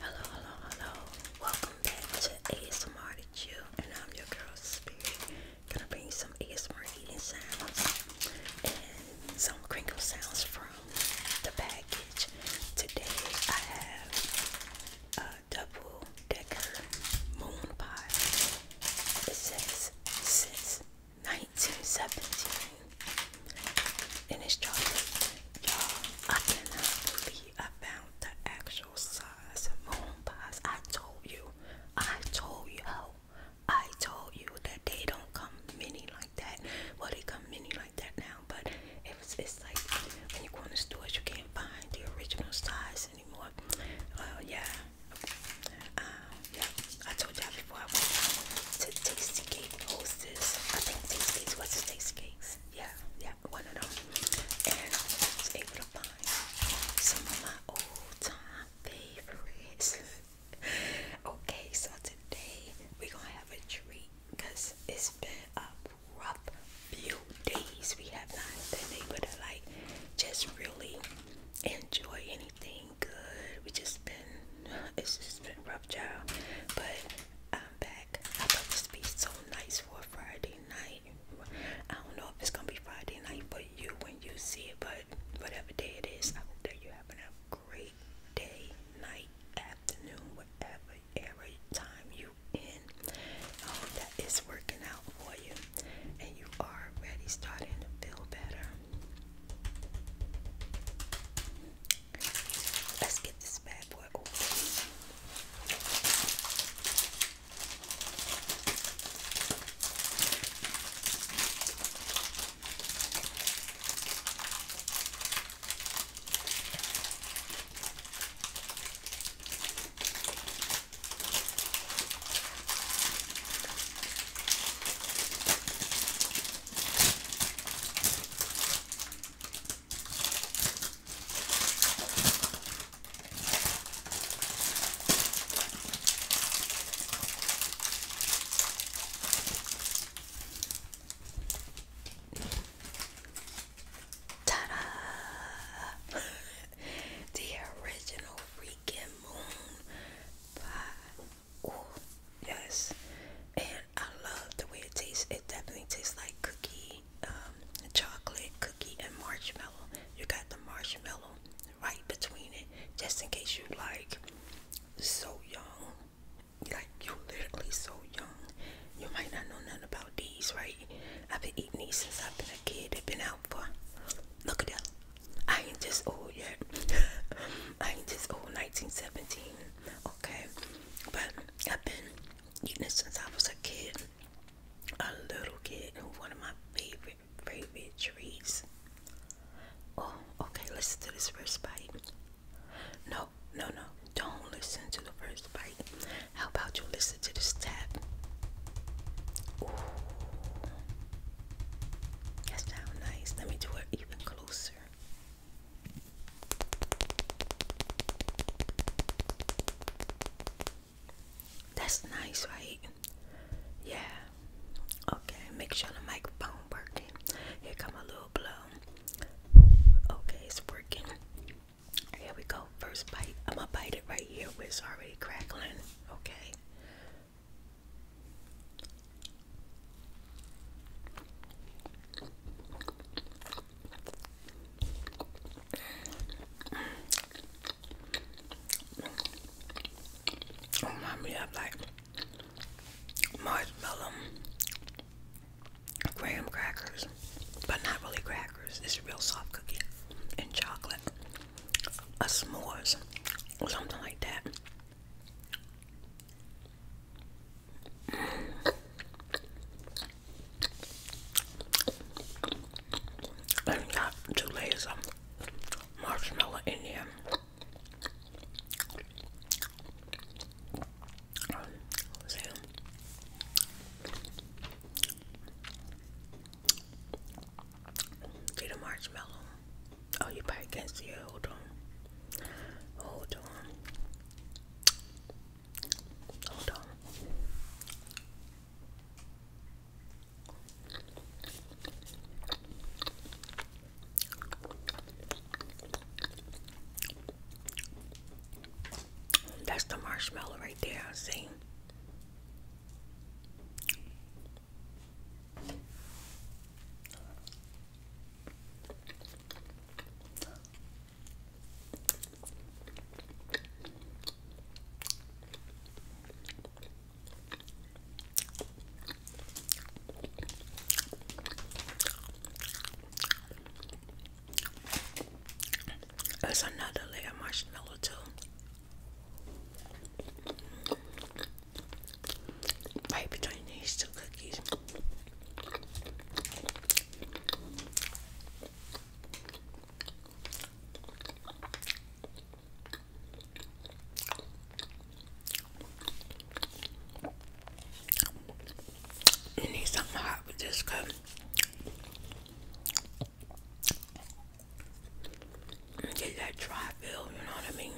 Hello, hello, hello. Welcome back to ASMR to you, and I'm your girl Spirit. Gonna bring you some ASMR eating sounds and some crinkle sounds from the package. Today I have a double decker moon pie. It says since 1917 and it's chocolate. Y'all, I cannot believe I found the actual size moon pies. I told you, I told you, I told you that they don't come mini like that. Well, they come mini like that now, but it was, it's like when you go in the stores, you can't find the original size anymore. Well, yeah, um, I told y'all before I went to Tasty Cake Hostess. I think Tasty Cakes was the Tasty Cakes. Yeah, yeah, one of them. And I was able to find some of my old time favorites. okay, so today we're gonna have a treat because it's been a rough few days. We have not been able to like just really enjoy anything good. We just been, it's just been rough, child. But I'm back. I thought this would be so nice for a Friday night. I don't know if it's gonna be Friday night for you when you see it, but whatever day it is, I hope that you have a great day, night, afternoon, whatever, every time you in. I hope that it's working out and you are already starting to feel better. Let's get this bad boy open. Ta-da! the original yes. And I love the way it tastes. It definitely tastes like cookie, um, chocolate, cookie, and marshmallow. You got the marshmallow right between it, just in case you like so young. Like you are literally so young. You might not know nothing about these, right? I've been eating these since I've been a kid. i have been out for look at that. I ain't just old yet. I ain't just old 1917. Okay. But I've been eating since I was a kid. A little kid. And one of my favorite, favorite treats. Oh, okay. Listen to this first bite. No, no, no. Don't listen to the first bite. How about you listen to this step? Ooh. That's nice. Let me do it even closer. That's nice, right? Yeah. Okay, make sure the microphone working. Here come a little blow. Okay, it's working. Here we go. First bite. I'm gonna bite it right here where it's already crackling. Okay. Remind me of like marshmallow graham crackers, but not really crackers. It's real soft cookie and chocolate a s'mores or something like that. And got two layers of marshmallow in there. Get a marshmallow. Oh, you probably can't see it. Hold on. Hold on. Hold on. That's the marshmallow right there, see? There's another layer of marshmallow too. Right between these two cookies. You need something hot with get that dry feel, you know what I mean?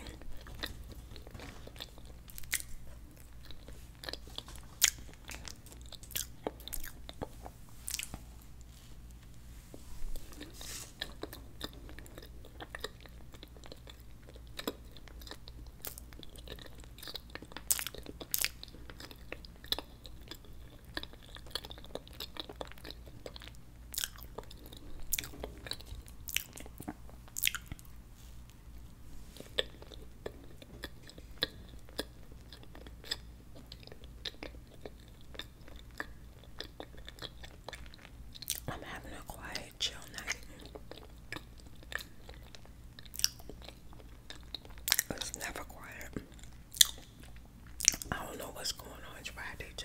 I'm having a quiet, chill night. It's never quiet. I don't know what's going on. Friday too.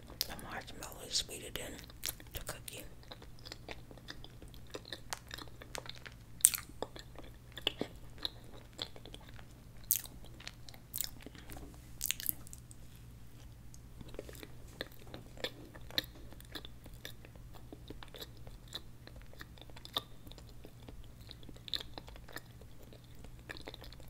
The marshmallow is sweeter in the cookie.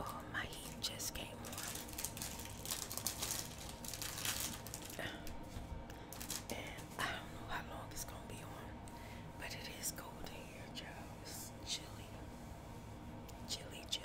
Oh, my heat just came on. I don't know how long it's going to be on, but it is cold in here, child. It's chilly. Chilly, chilly.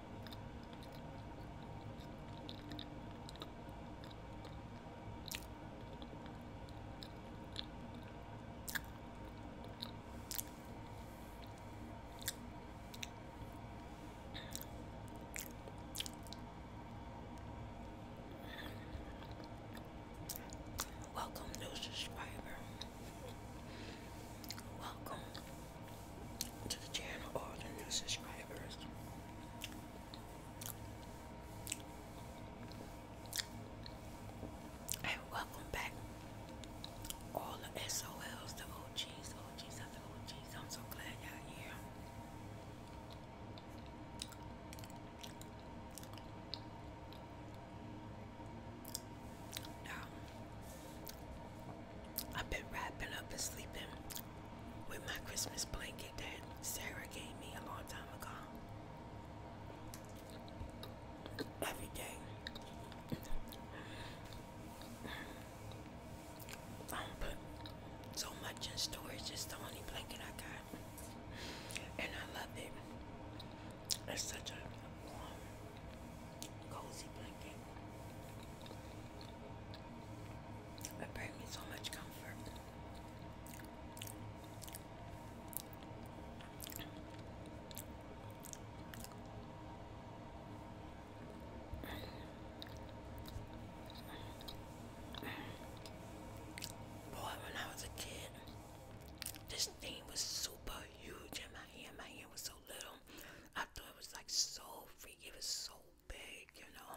Welcome, new subscriber. Welcome to the channel, all the new subscribers. And welcome back, all the SOLs, the OGs, OGs of the OGs. I'm so glad y'all here. Now, I've been wrapping up and sleeping with my Christmas blanket that Sarah gave me a long time ago. Every day. I put so much in storage, it's the only blanket I got. And I love it. It's such a warm, cozy blanket. It brings me so much comfort. Boy, when I was a kid, this thing was super huge, and my hand, my hand was so little. I thought it was like so freaky, it was so big, you know.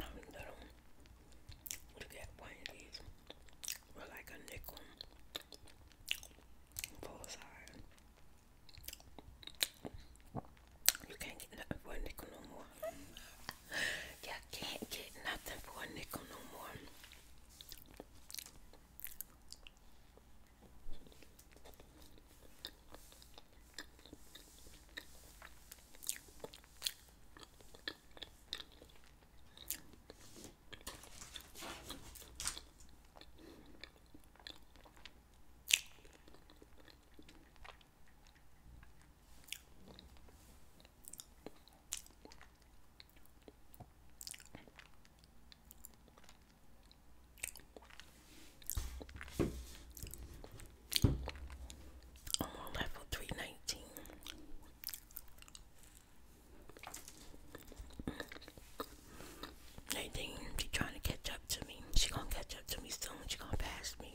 I'm little to get one of these for like a nickel full size. You can't get nothing for a nickel no more. yeah, can't get nothing for a nickel no more i level three nineteen. Nadine, she trying to catch up to me. She gonna catch up to me soon. She gonna pass me.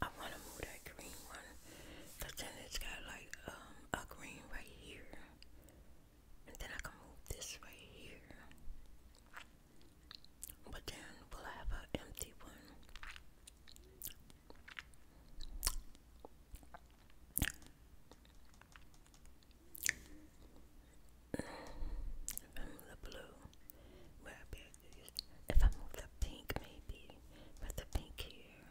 I want to move that green one, but then it's got like um, a green right here, and then I can move this right here. But then will have an empty one? If the blue, will I if I move the pink maybe with the pink here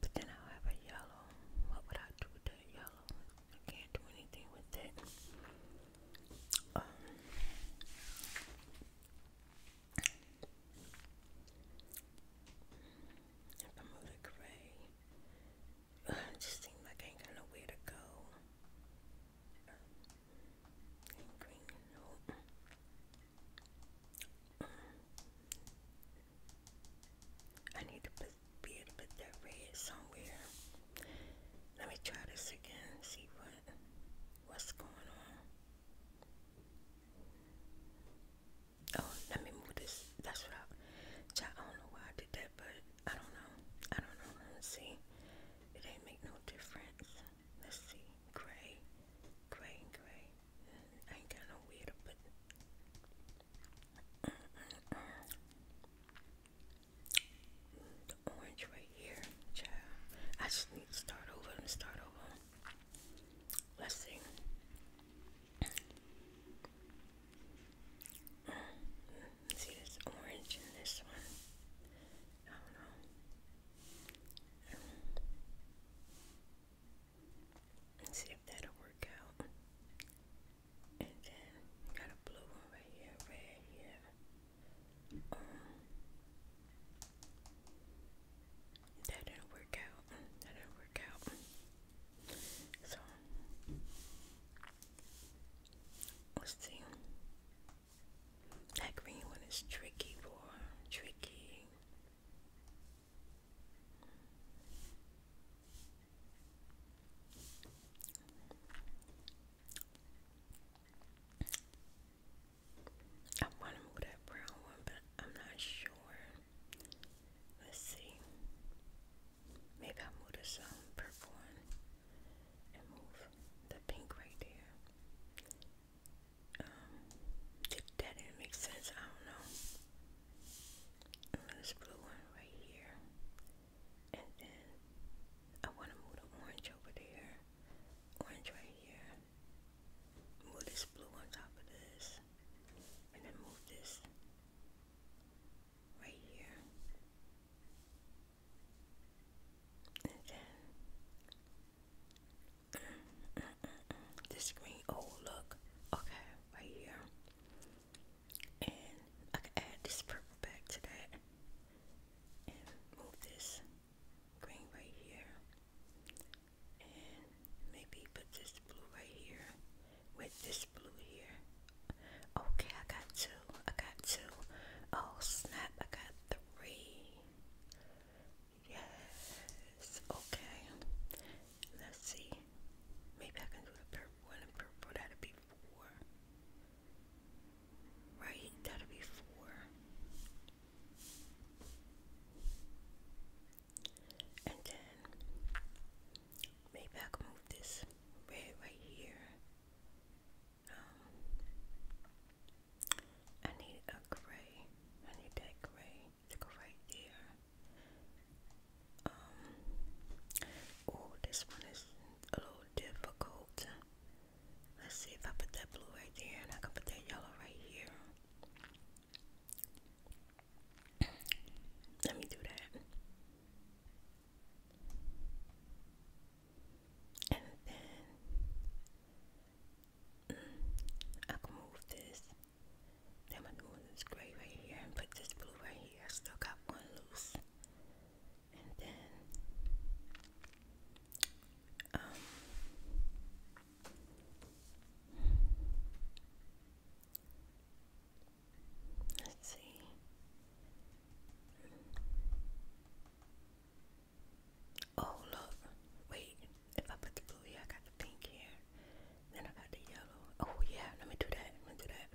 but then I'll have a yellow what would I do with that yellow I can't do anything with it um, if I move the gray it just seems like I ain't got nowhere to go I need to put, be able to that red somewhere. Let me try this again. See what what's going on. Oh, let me move this. That's what I. I don't know why I did that, but I don't know. I don't know. Let's see. It didn't make no difference let's see, gray, gray, gray. ain't got no way to the orange right here, child. I just need to start over and start over. Let's see. See this orange in this one. I don't know. Let's see if that'll work out. And then got a blue one right here, red here. Um, that didn't work out. That didn't work out. So let's see. That green one is tricky, boy. Tricky. I want to move that brown one, but I'm not sure. Let's see. Maybe i move this um, purple one and move the pink right there. Um, if that didn't make sense, I don't know. This blue one right here, and then I want to move the orange over there, orange right here. Move this blue on top of this, and then move this right here, and then this green. Oh, look. Okay, right here. And I can add this purple back to that. And move this green right here. And maybe put this blue right here with this blue here. Okay, I got two. I got two. Oh, snap. I got three. Yes. Okay. Let's see. Maybe I can do the purple one and purple. That'll be four. Right? That'll be four. And then maybe I can move this red right here. Um, I need a gray. I need that gray to go right there. Um, oh, this one is a little difficult. Let's see if I put that blue right there and I can put that yellow right here. Let me do that. And then I can move this. Then I'm doing this gray right here and put this blue right here. I still got one loose. And then um, let's see. Oh look, wait, if I put the blue here, I got the pink here. Then I got the yellow. Oh yeah, let me do that. Let me do that.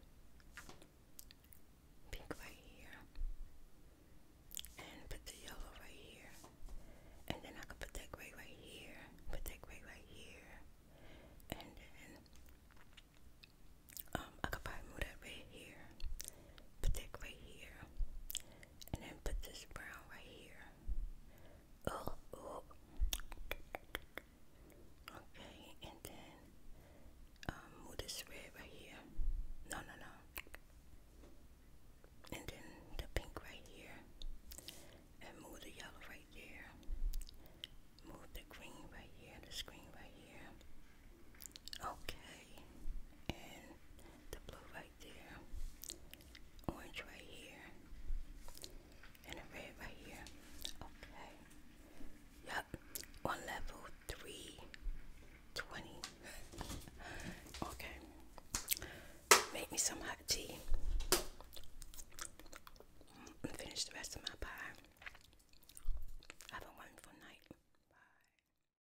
Pink right here. And put the yellow right here. And then I could put that gray right here. Put that gray right here. And then um, I could probably move that red here. Put that gray here and then put this brown right here. Oh, oh. Okay, and then um, move this red right here. No, no, no. And then the pink right here. And move the yellow right there. Move the green right here, the green right here. Okay. And the blue right orange right here, and a red right here. Okay. Yep. On level three twenty. okay. Make me some hot tea. finish the rest of my pie. Have a wonderful night. Bye.